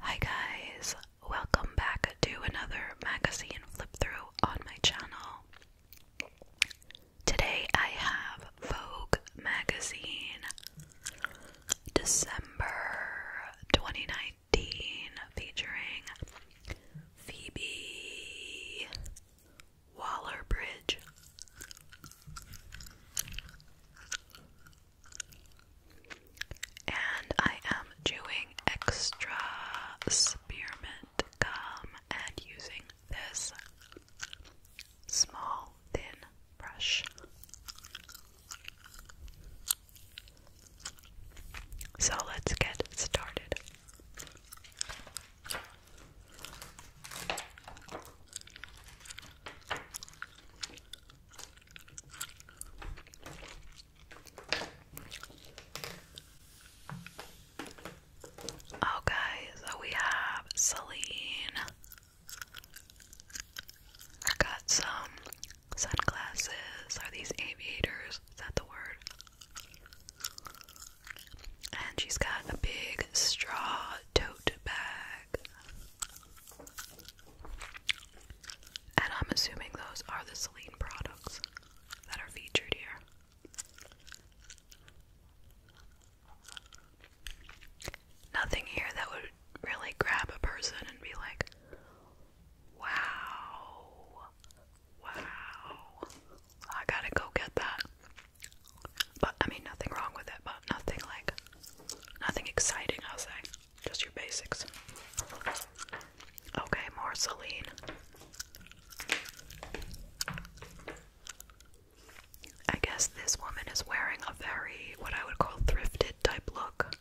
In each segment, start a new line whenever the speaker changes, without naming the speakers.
Hi guys, welcome back to another magazine flip through on my channel. Today I have Vogue magazine December 2019 featuring Phoebe Waller Bridge. And I am doing extra spearmint gum and using this small thin brush. So let's get started. Okay, oh, so we have Celine. got some sunglasses. Are these aviators? Is that the word? And she's got a big straw tote bag. And I'm assuming those are the Celine products that are featured here. Nothing here that would really grab a person and be like, wow, Wow. I gotta go get that. But I mean, nothing wrong with it, but nothing like, nothing exciting, I'll say. Just your basics. Okay, more Celine. I guess this woman is wearing a very, what I would call, thrifted type look.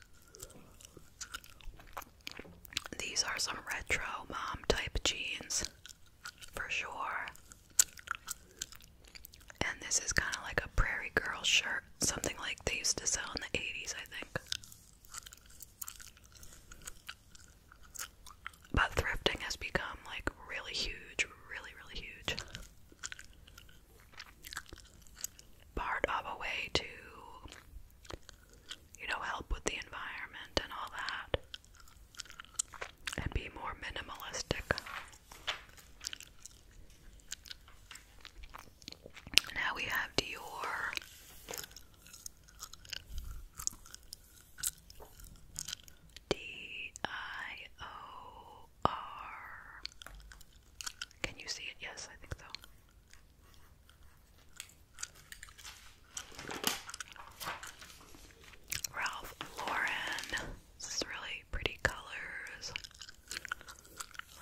These are some retro mom type jeans for sure. And this is kind of like a prairie girl shirt, something like they used to sell in the 80s, I think. But thrifting has become like really huge, really, really huge. Part of a way to, you know, help with the environment and all that and be more minimalistic. Now we have Dior. D I O R. Can you see it? Yes, I think so. Ralph Lauren. This is really pretty colors.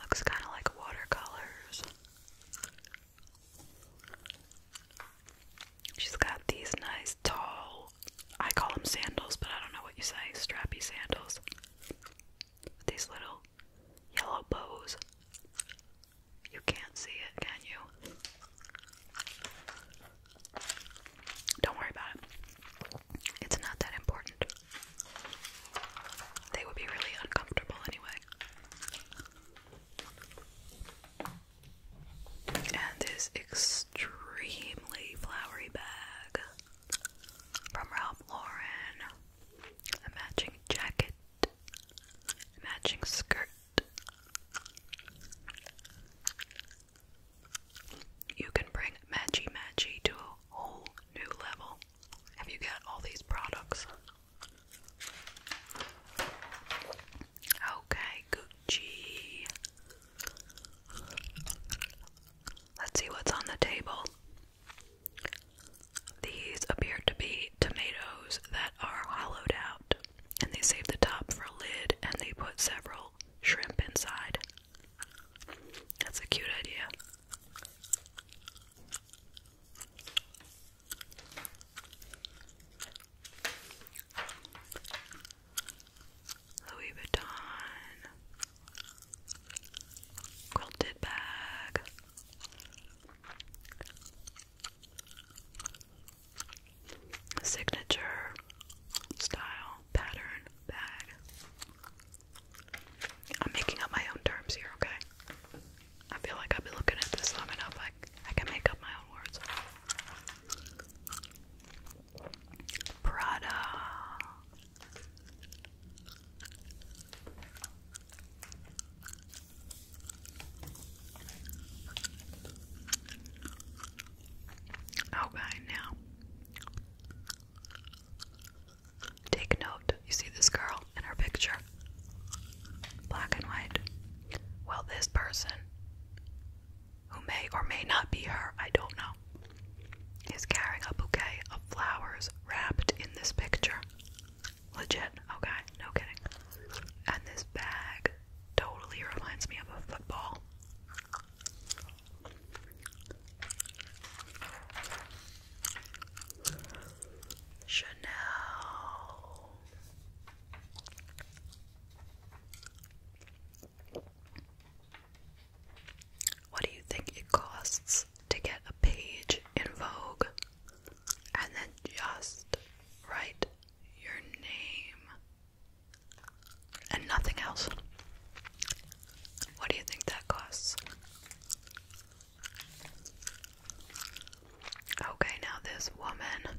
Looks kind of like watercolors. She's got these nice tall, I call them sandals, but I don't know what you say, strappy sandals. With these little yellow bows. You can't see it, can you? Don't worry about it. It's not that important. They would be really uncomfortable anyway. And this extremely flowery bag from Ralph Lauren. A matching jacket, matching skirt, you can bring Matchy Matchy to a whole new level if you get all these products. Okay, Gucci. Let's see what's on the table. These appear to be tomatoes that are hollowed out and they save the top for a lid and they put several shrimp inside. That's a cute idea. Louis Vuitton quilted bag signature style pattern bag. I'm making up my own terms here, okay? I feel like I've been looking at this long enough, like I can make up my own words. Prada. Okay, now take note. You see this girl in her picture? Black and white. Well, this person, who may or may not be her, I don't know, is carrying a bouquet of flowers wrapped in this picture. Legit, okay, no kidding. And this bag totally reminds me of a football. Chanel. What do you think it costs to get a page in Vogue and then just write your name, and nothing else. What do you think that costs? Okay, now this woman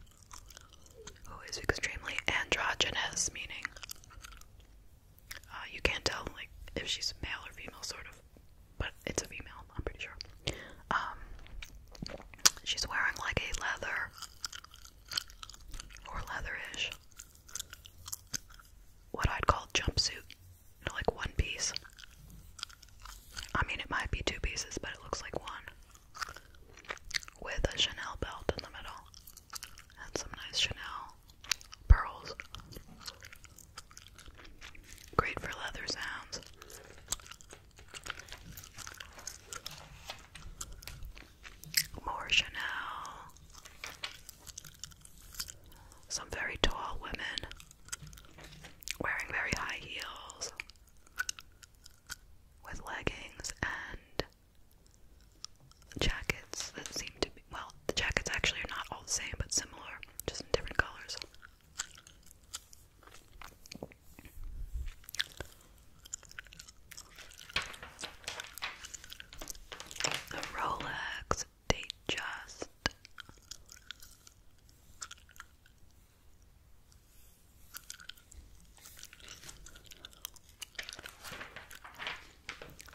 who is extremely androgynous, meaning uh, you can't tell like if she's male or female, sort of, but it's a female. I'm pretty sure. Um, she's wearing like a leather or leatherish, what I'd call jumpsuit, like one piece. I mean, it might be two pieces, but it looks like one with a Chanel belt in the middle and some nice Chanel pearls. Great for leather sounds. More Chanel. Some very tall women wearing very high heels with leggings and jackets that seem to be well, the jackets actually are not all the same but similar, just in different colors. The Rolex Datejust.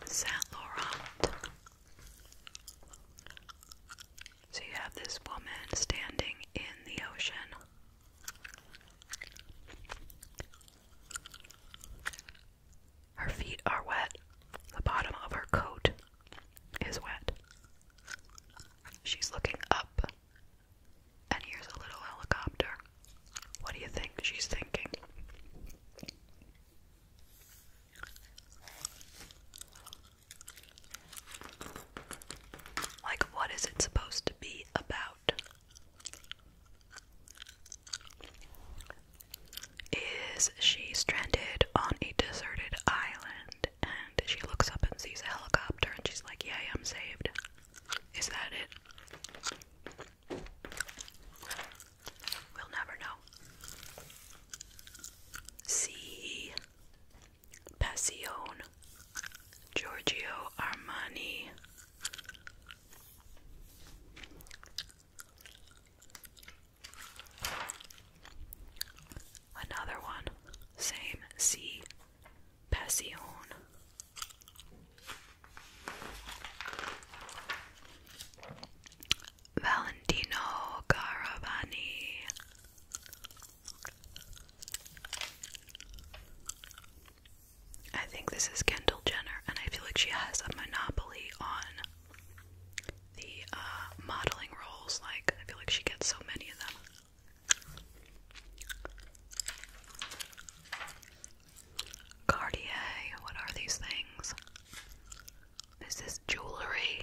Saint Laurent. So you have this woman standing in the ocean her feet are wet. The bottom of her coat is wet. She's looking up. And here's a little helicopter. What do you think she's thinking? Like, what is it supposed to be about? is she stranded on a deserted island and she looks up and sees a helicopter and she's like, Yay, I'm saved. Is that it? We'll never know. See Passion Giorgio Armani. Another one, same C. Passion. Valentino Caravani. I think this is Kendall Jenner, and I feel like she has a monopoly on the uh, modeling roles. Like, I feel like she gets so many of them. Cartier, what are these things? Is jewelry?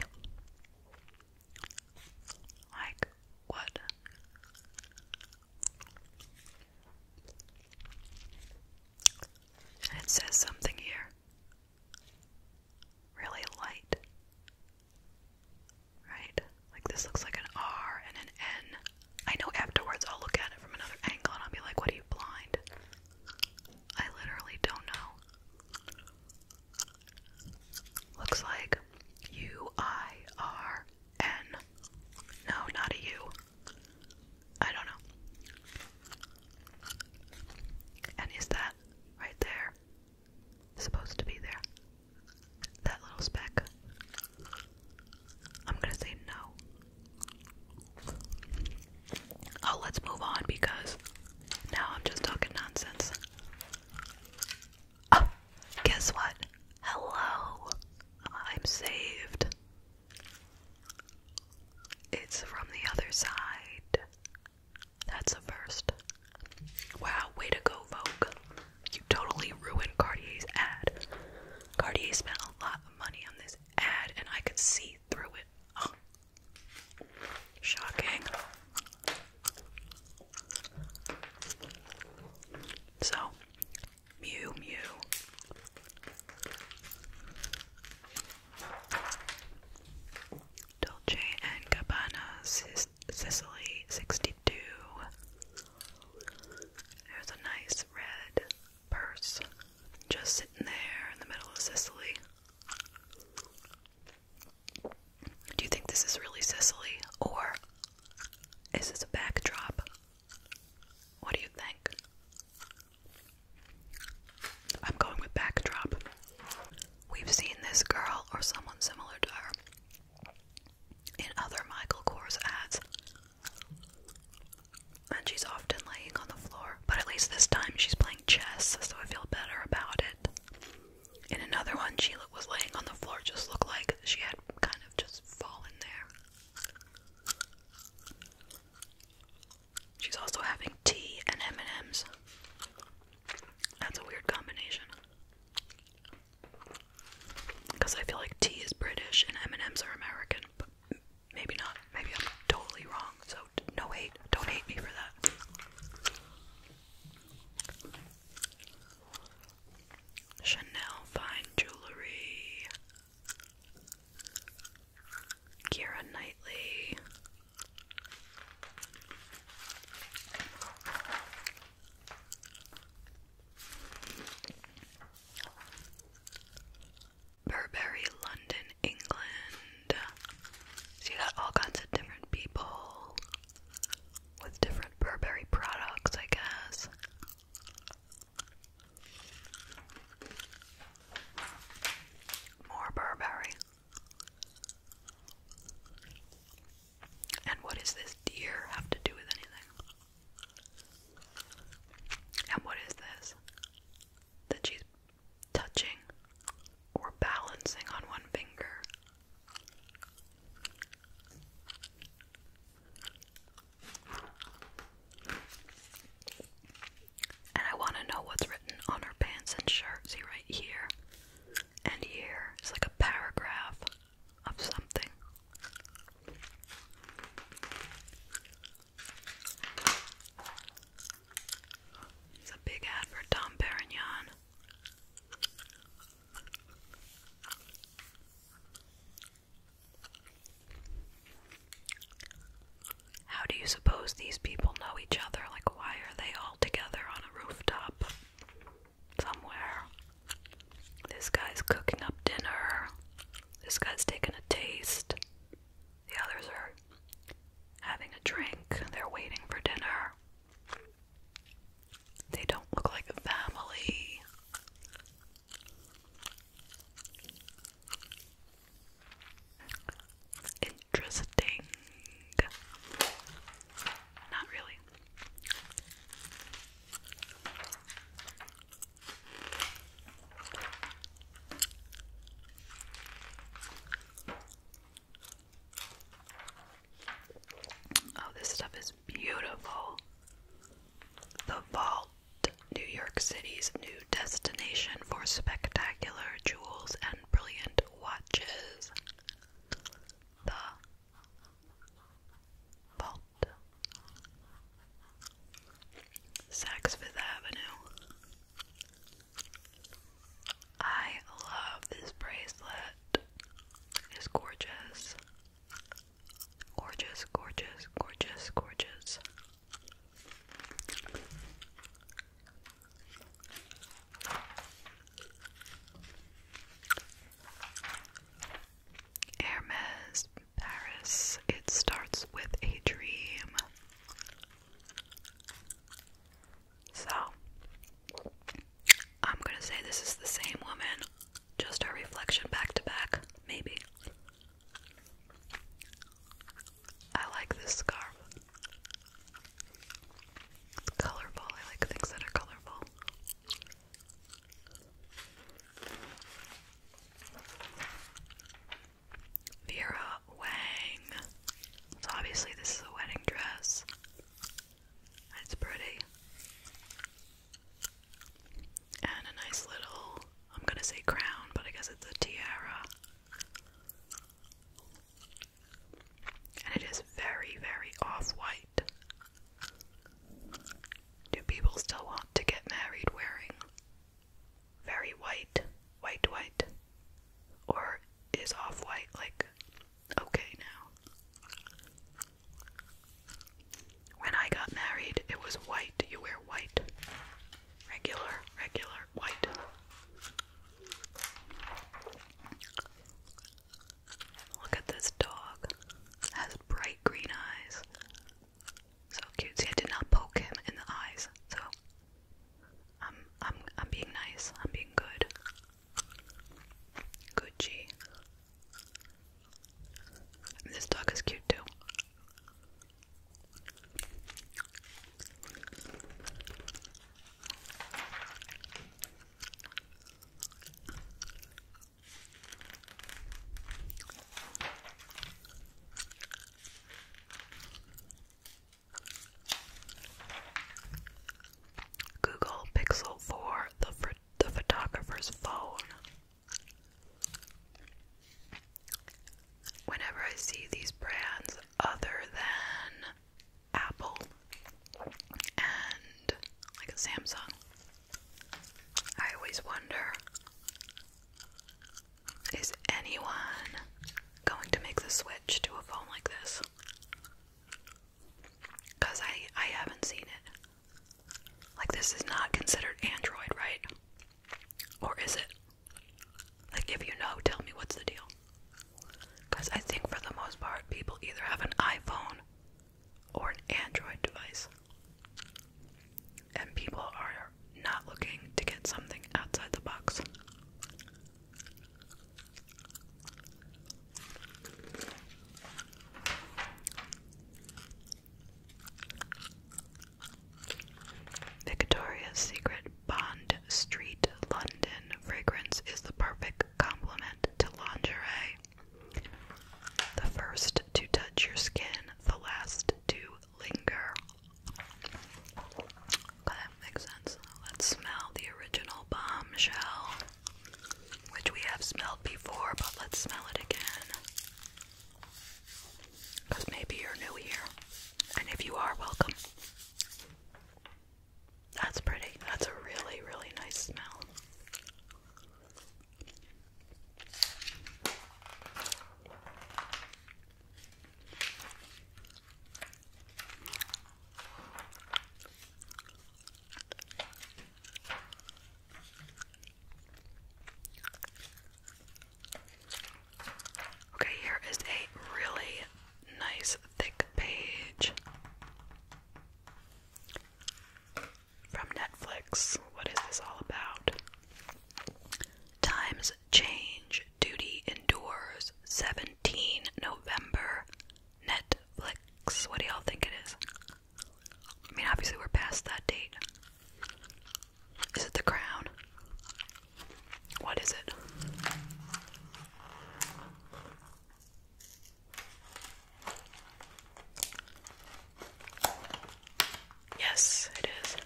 Like, what? it says something here. Really light. Right? Like this looks like an R and an N. I know afterwards I'll look at it from another angle and I'll be like, what are you blind? I literally don't know. Looks like U I R N. No, not a U. I don't know. And is that right there? Supposed to be there. That little speck. I'm gonna say no. Oh, let's move on because now I'm just talking nonsense. Oh, guess what? Hello. I'm saved. It's from the other side. That's the first. Wow, way to go, Vogue. You totally ruined Cartier's ad. Cartier spent a lot of money on this ad, and I could see through it. Shocking. So, Mew Mew. Dolce and Gabbana, Sic Sicily 62. There's a nice red purse just sitting there in the middle of Sicily. Do you think this is really Sicily or is this a backdrop what do you think? I'm going with backdrop. We've seen this girl or someone similar to her in other Michael Kors ads. And she's often laying on the floor, but at least this time she's playing chess, so I feel better about it. In another one, she was laying on the floor, just looked like she had kind of just fall in there. She's also having tea and M&Ms. That's a weird combination. Because I feel like tea is British and M&Ms are American, but maybe not. Maybe I'm totally wrong. So no hate. Don't hate me for that. Chanel Fine Jewelry, Kira Knightley. Burberry, London, England. So you got all kinds of different people with different Burberry products, I guess. More Burberry. And what does this deer have to do with anything? And what is this? That she's touching or balancing on one finger. And I want to know what's written on her pants and shirt. See right here and here. It's like a paragraph of something. It's a big ad for Tom Perignon. How do you suppose these people know each other? Like, why are they all together on a rooftop somewhere? This guy's cooking up dinner. This guy's taking a taste. The others are having a drink. They're waiting for dinner. They don't look like a family. Interesting. Not really. Oh, this stuff is beautiful. The Vault, New York City's new destination for spectacular jewels and brilliant watches. The Vault, Saks Avenue. I love this bracelet. It's gorgeous. Gorgeous, gorgeous, gorgeous, gorgeous. Hermes, Paris. It starts with a dream. So, I'm gonna say this is the same woman. Just our reflection back to back, maybe. I like this scarf. It's colorful. I like things that are colorful. Vera Wang. So obviously this is a wedding dress. It's pretty and a nice little, I'm gonna say crown, but I guess it's a tiara. And it is very, very off white. Do people still want to get married wearing very white, white, white? Or is off white like okay now? When I got married, it was white. You wear white. Regular, regular, white. Look at this dog. Has bright green eyes. So cute. See, I did not poke him in the eyes. So I'm I'm I'm being nice. I'm being good. Gucci this dog is cute too. Google Pixel 4, the, the photographer's phone. Whenever I see these brands other than Apple and like Samsung, I always wonder is anyone going to make the switch to a phone like this? Because I, I haven't seen it. Like, this is not considered Android, right? Or is it? Like, if you know, tell me what's the deal. Because I think for the most part, people either have an iPhone or an Android device. And people are not looking to get something outside the box. Victoria's Secret Bond Street, London fragrance is the perfect complement to lingerie. The first to touch your skin, the last to linger. that makes sense. Let's smell the original bombshell, which we have smelled before, but let's smell it again. Because maybe you're new here. And if you are, welcome. That's pretty. That's a really, really nice smell. Okay, here is a really nice thick page from Netflix. What is this all about? Times change, duty endures. 17 November. Netflix. What do y'all think it is? I mean, obviously, we're past that date. Is it the crown? What is it? Yes, it is.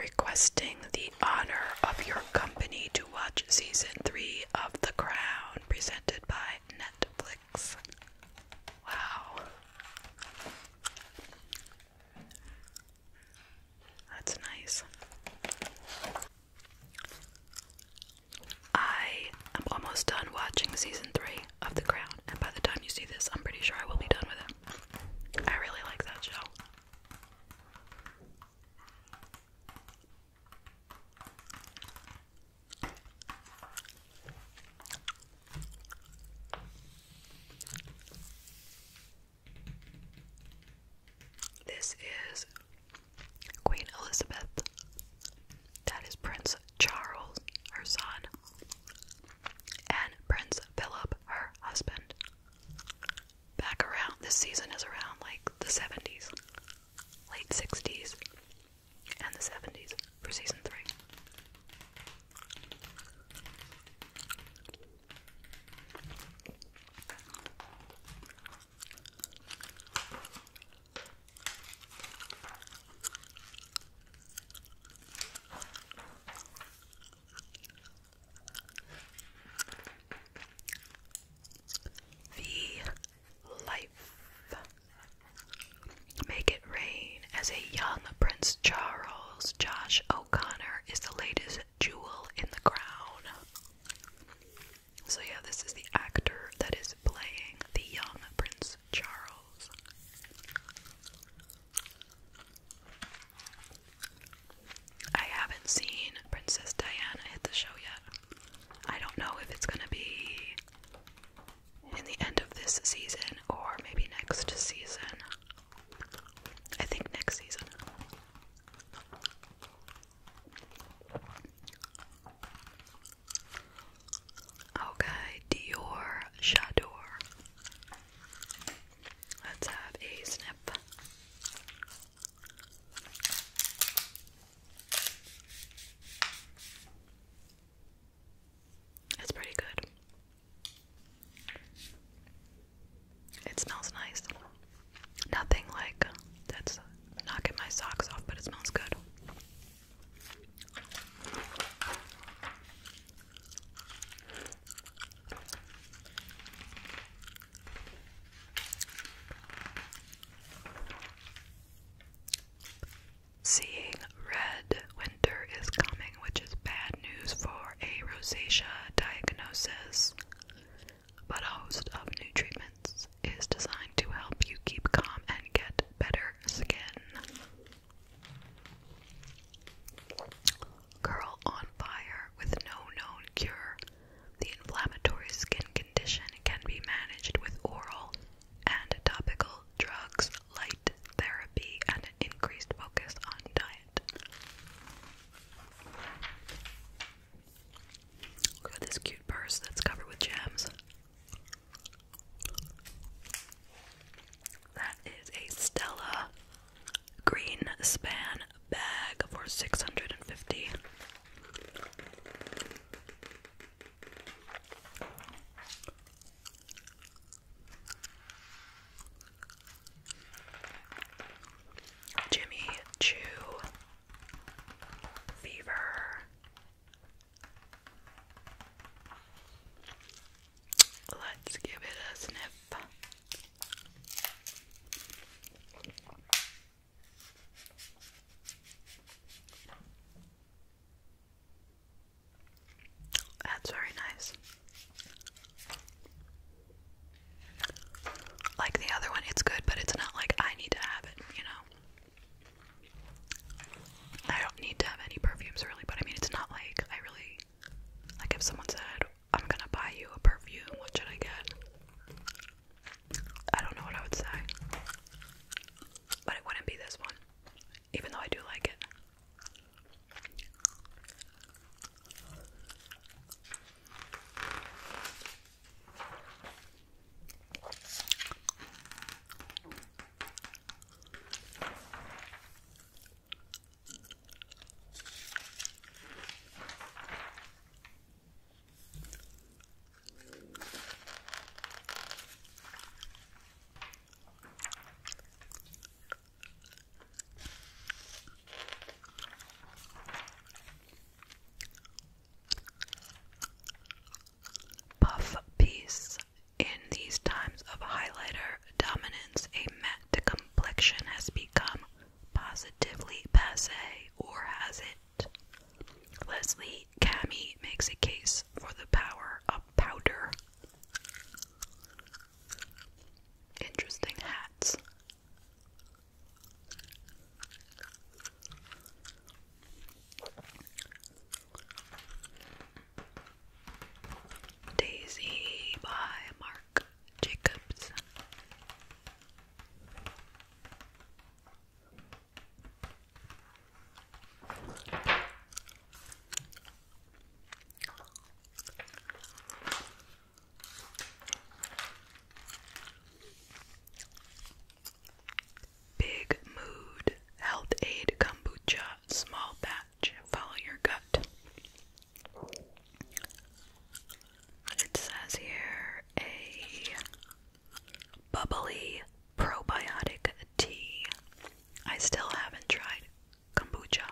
Requesting the honor of your company to watch season three of The Crown, presented by Netflix. Wow. That's nice. I am almost done watching season three of The Crown, and by the time you see this, I'm pretty sure I will be done with it. I really like that show. This is Queen Elizabeth. That is Prince Charles, her son, and Prince Philip, her husband. Back around, this season is around like the 70s, late 60s and the 70s for season 3. The life Make It Rain as a young Prince Charles, Josh O'Connor is the latest jewel in the crown. So, yeah, this is the actor that is playing the young Prince Charles. I haven't seen Princess Diana hit the show yet. I don't know if it's gonna be in the end of this season or maybe next season. I think next season. Okay, Dior Shador. Let's have a snip. It's pretty good. It smells nice. Nothing like that's knocking my socks off, but it smells good seeing red winter is coming, which is bad news for a rosacea diagnosis. But a host of new treatments is designed to help you keep calm and get better skin. Girl on fire with no known cure. The inflammatory skin condition can be managed with oral and topical drugs, light therapy, and increased focus on diet. Look at this cute purse that's covered with gems. That is a Stella green span bag for 650. Jimmy Chew Fever. Let's give it a sniff. That's very nice. Like the other one, it's good, but it's not like I need to have it, you know? I don't need to have any perfumes really, but I mean, it's not like I really. Like if someone said, I'm gonna buy you a perfume, what should I get? I don't know what I would say. But it wouldn't be this one even though I do like it. Puff piece. In these times of highlighter dominance, a matte complexion has become positively passe or has it. Leslie Cami makes a case for the power of powder. Interesting hats. Daisy by Mark Jacobs. Big Mood Health Aid Kombucha Small Batch Follow Your Gut. It says here a bubbly probiotic tea. I still haven't tried kombucha,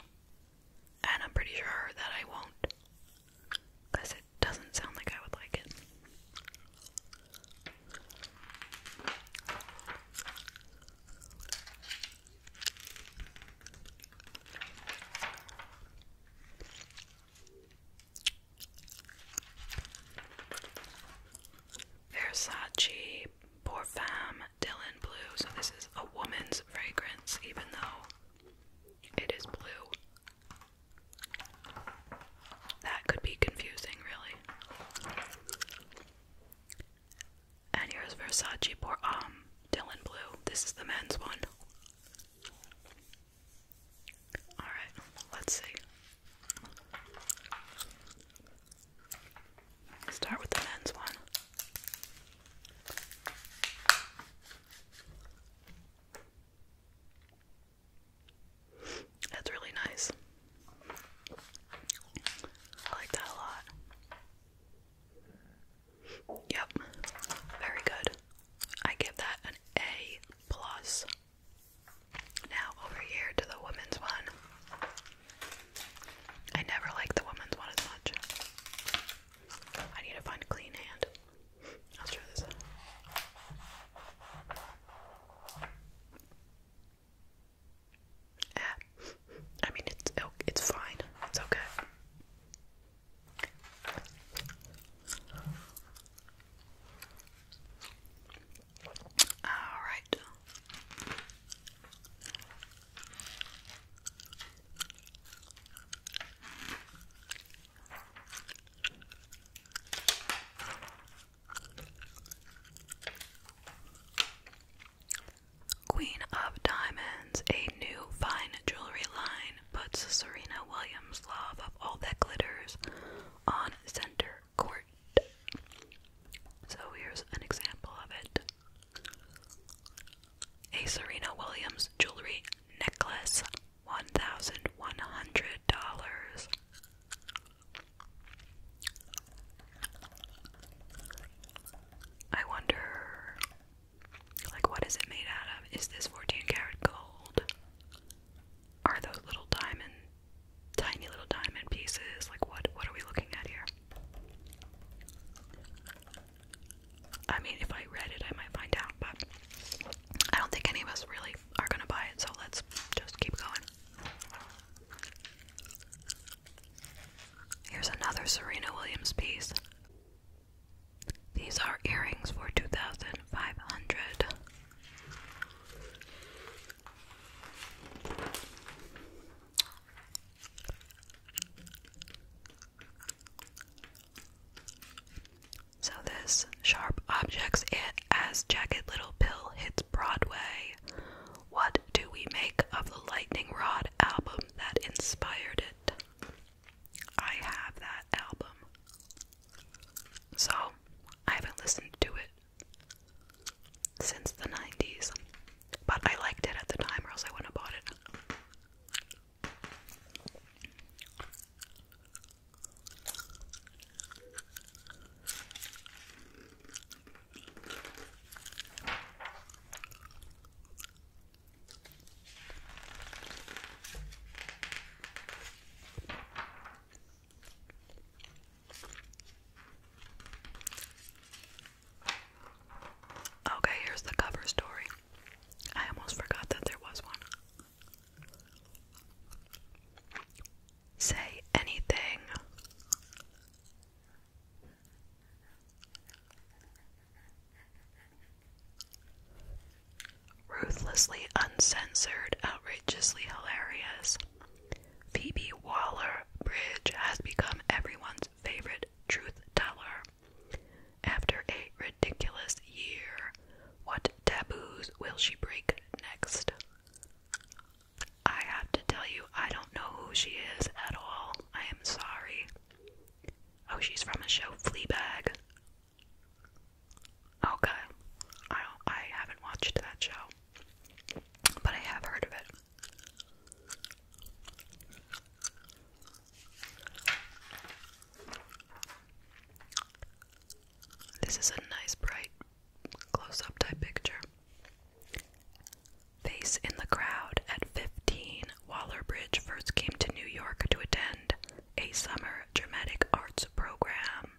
and I'm pretty sure that I won't it doesn't sound like I would like it. Versace Pour Femme Dylan Blue. So this is a woman's fragrance, even though it is blue. That could be confusing, really. And here's Versace Pour Um Dylan Blue. This is the men's one. Alright, let's see. Start with the men's one. That's really nice. I like that a lot. Yep. Very good. I give that an A plus. Now over here to the woman's one. I never liked the woman's one as much. I need to find a clean hand. I'll try this eh, I mean it's it's fine. It's okay. All right. Queen of Diamonds, a new fine jewelry line, puts Serena Williams' love of all that glitters on center quart. So here's an example of it. A Serena Williams jewelry necklace, $1,100. I wonder, like, what is it made out of? Is this 14 karat gold? Are those little diamond tiny little diamond pieces. Like what what are we looking at here? I mean, if I read it, I might find out, but I don't think any of us really are gonna buy it, so let's just keep going. Here's another Serena Williams piece. These are earrings for 2500 so, this sharp objects it as jacket Little Pill hits Broadway. What do we make of the Lightning Rod album that inspired it? I have that album. So, I haven't listened to it since the 90s. But I liked it at the time, or else I wouldn't have bought it. Okay, here's the cover story. I almost forgot that there was one. Say anything. Ruthlessly uncensored, outrageously hilarious. Phoebe Waller Bridge has become everyone's favorite truth teller. After a ridiculous year, what taboos will she break next? I have to tell you, I don't know who she is at all. I am sorry. Oh, she's from a show, Fleabag. Okay, I haven't watched that show, but I have heard of it. This is a nice, bright, close up type picture. Face in the crowd at 15, Wallerbridge first came to New York to attend a summer dramatic arts program.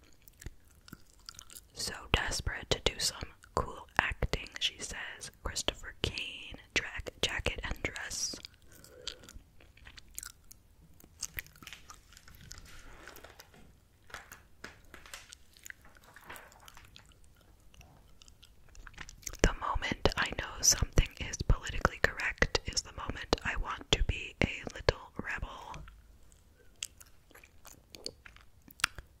So desperate to do some cool acting, she says. Christopher Kane, track, jacket, and dress. The moment I know something is politically correct is the moment I want to be a little rebel.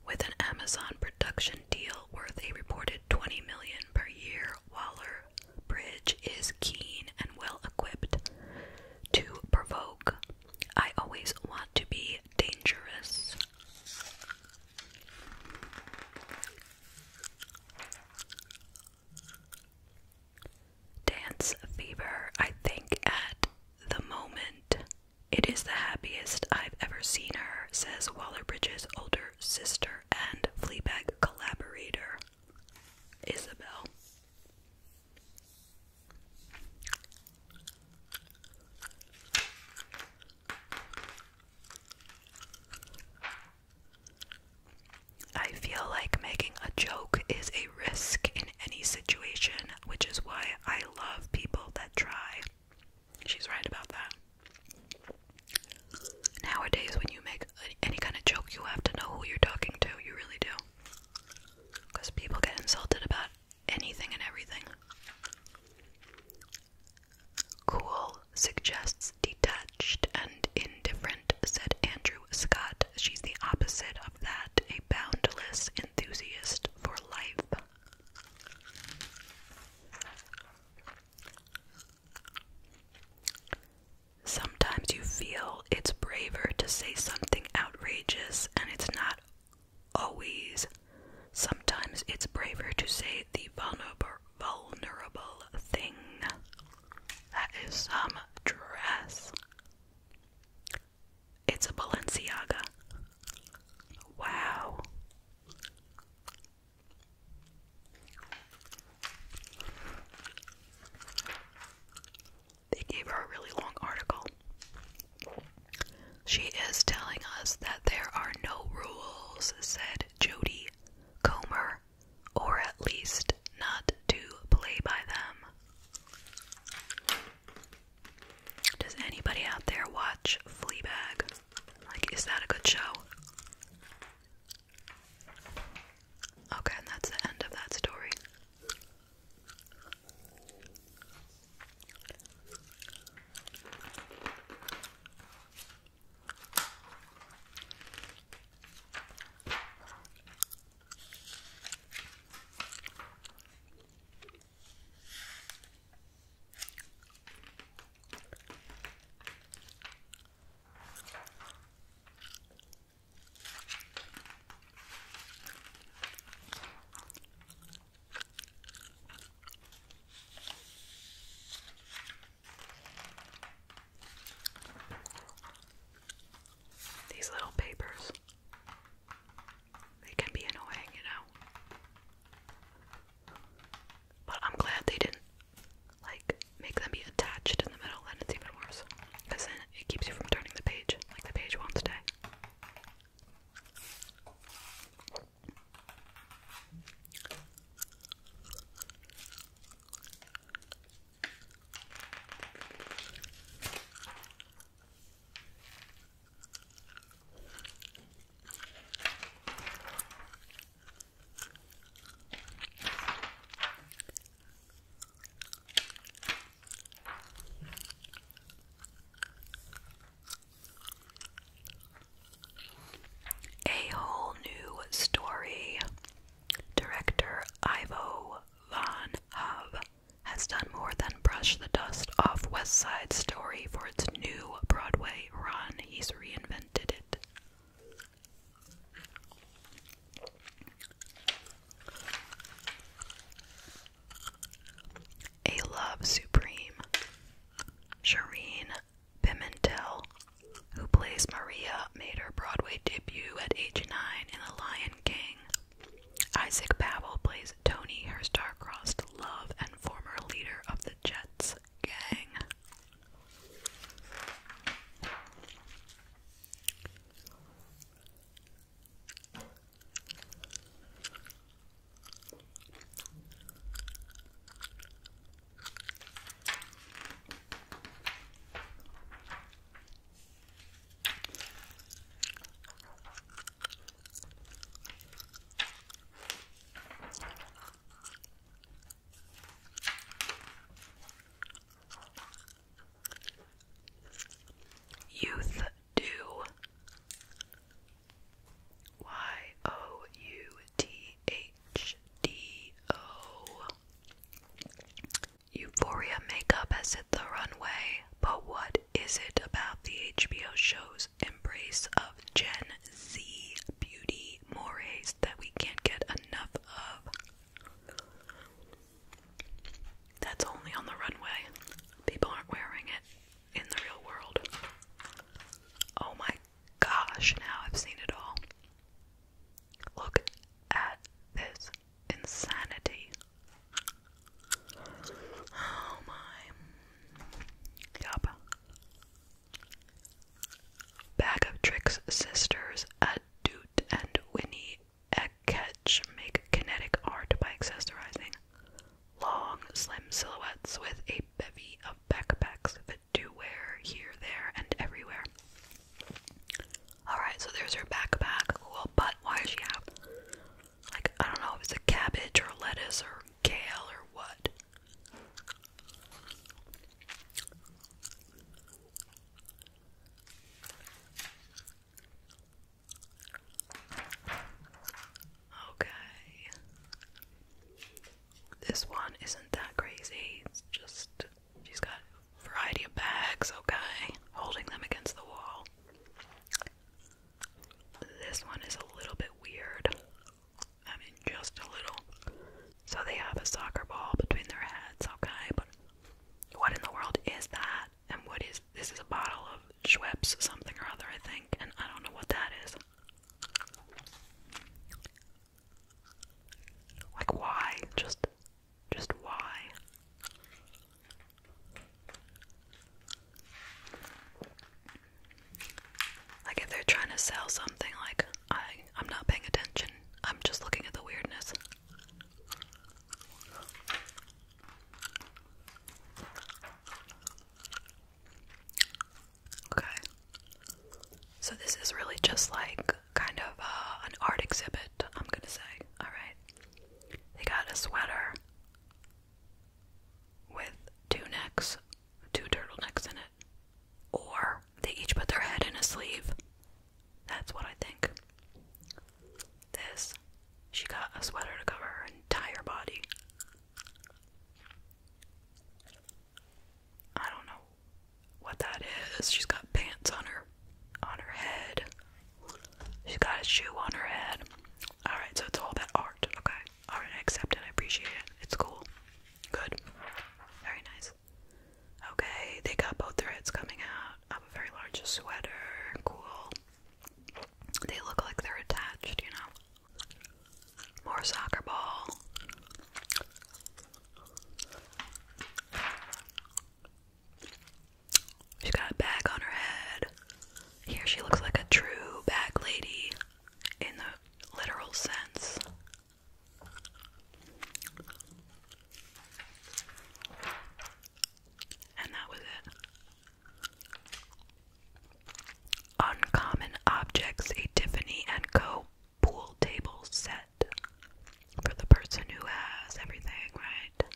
With an Amazon production deal worth a reported 20 million per year, Waller Bridge is keen and well equipped to provoke. I always want to be dangerous. Dance fever, I think, at the moment it is the happiest I've ever seen her, says Wallerbridge's older sister and Fleabag collaborator, Isabel. I feel like making a joke is a risk in any situation, which is why I love people that try. She's right about that. Nowadays, when you make any kind of joke, you have to know who you're talking to. You really do. Because people get insulted about anything and everything. Cool suggests detached and indifferent, said Andrew Scott. She's the opposite of that, a boundless enthusiast for life. Sometimes you feel it's braver to say something outrageous, and it's not always. Sometimes it's braver to say the vulnerable, thing. That is some dress. It's a Balenciaga. Wow. They gave her a really long article. She is telling us that there are no rules, said Jody Comer, or at least not to play by them. Does anybody out there watch Fleabag? Like, is that a good show? Okay, and that's the end of that story. These little papers they can be annoying, you know. But I'm glad they didn't like make them be attached in the middle, then it's even worse. Because then it keeps you from turning the page like the page wants to. A whole new story. Director Ivo Van Hove has done more than brush the dust off West Side Story for its new Broadway run. He's reinvented it. A Love Supreme. Shireen Pimentel, who plays Maria, made her Broadway debut at age 9 in The Lion King. Isaac Babel plays Tony, her star-crossed love and former leader of the Jets gang. Youth do Y O U T H D O Euphoria makeup has hit the runway, but what is it about the HBO show's embrace of Gen Z beauty mores that we can't get enough of. That's only on the runway. People aren't wearing it in the real world. Oh my gosh, now I've seen it all. Look at this insanity. Oh my. Yup. Bag of Tricks sisters, Adut and Winnie Eketch make kinetic art by accessorizing long, slim silhouettes with a bevy of backpacks that do wear here, there, and everywhere. Alright, so there's her backpack. Cool, but why does she have like I don't know if it's a cabbage or lettuce or kale or what. Okay. This one isn't that crazy. It's just she's got variety of bags, okay, holding them against the wall. This one is a little bit weird. I mean, just a little. So they have a soccer ball between their heads, okay? But what in the world is that? And what is this? Is a bottle of Schweppes something or other, I think, and I don't know what that is. Like why? Just, just why? Like if they're trying to sell something, like I I'm not paying attention. I'm just looking at the weirdness. Okay. So this is really just like kind of uh, an art exhibit, I'm gonna say. All right. They got a sweater, with two necks, two turtlenecks in it. Or they each put their head in a sleeve. That's what I think. This, she got a sweater to cover her entire body. I don't know what that is. She's got pants on her on her head. She's got a shoe on her head. Alright, so it's all that art, okay. Alright, I I appreciate it. It's cool. Good. Very nice. Okay, they got both their coming out of a very large sweater. Cool. They look like they're attached, you know. More soccer ball. She's got a bag on her head. Here she looks like a true bag lady in the literal sense. And that was it. Uncommon Objects, Tiffany and Co. pool table set for the person who has everything, right?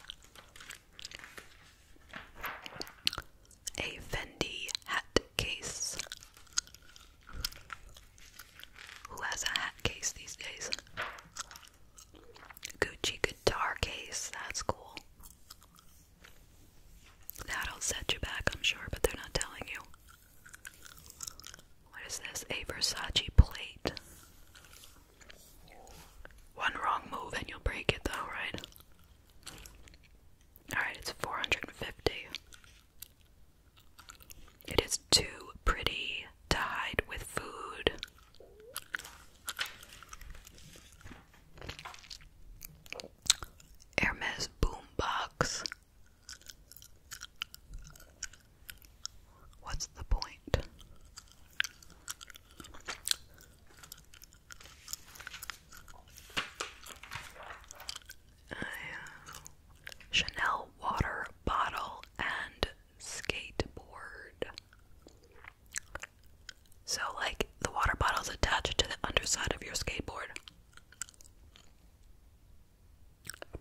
a Fendi hat case. Who has a hat case these days? Gucci guitar case, that's cool. That'll set you back, I'm sure, but they're not telling you. What is this? A Versace plate. One wrong move and you'll break it, though, right? Alright, it's 450. It is too pretty to hide with food. Hermes Boombox. What's the point? Chanel water bottle and skateboard. So, like, the water bottle's attached to the underside of your skateboard.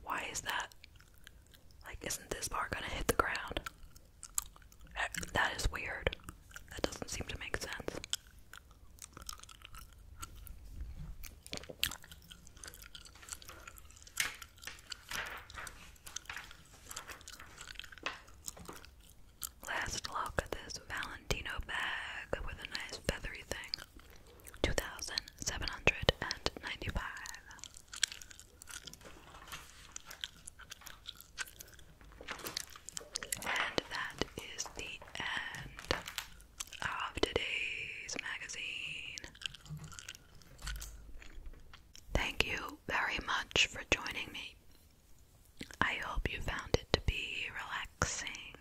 Why is that? Like, isn't this bar gonna hit the ground? Eh, that is weird. That doesn't seem to make sense. Last look at this Valentino bag with a nice feathery thing. Two thousand seven hundred and ninety five. And that is the end of today's magazine. Thank you very much for joining me. I hope you found it to be relaxing.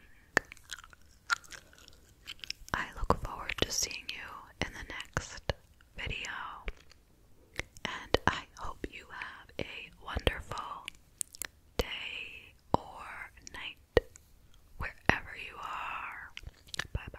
I look forward to seeing you in the next video. And I hope you have a wonderful day or night, wherever you are. Bye bye.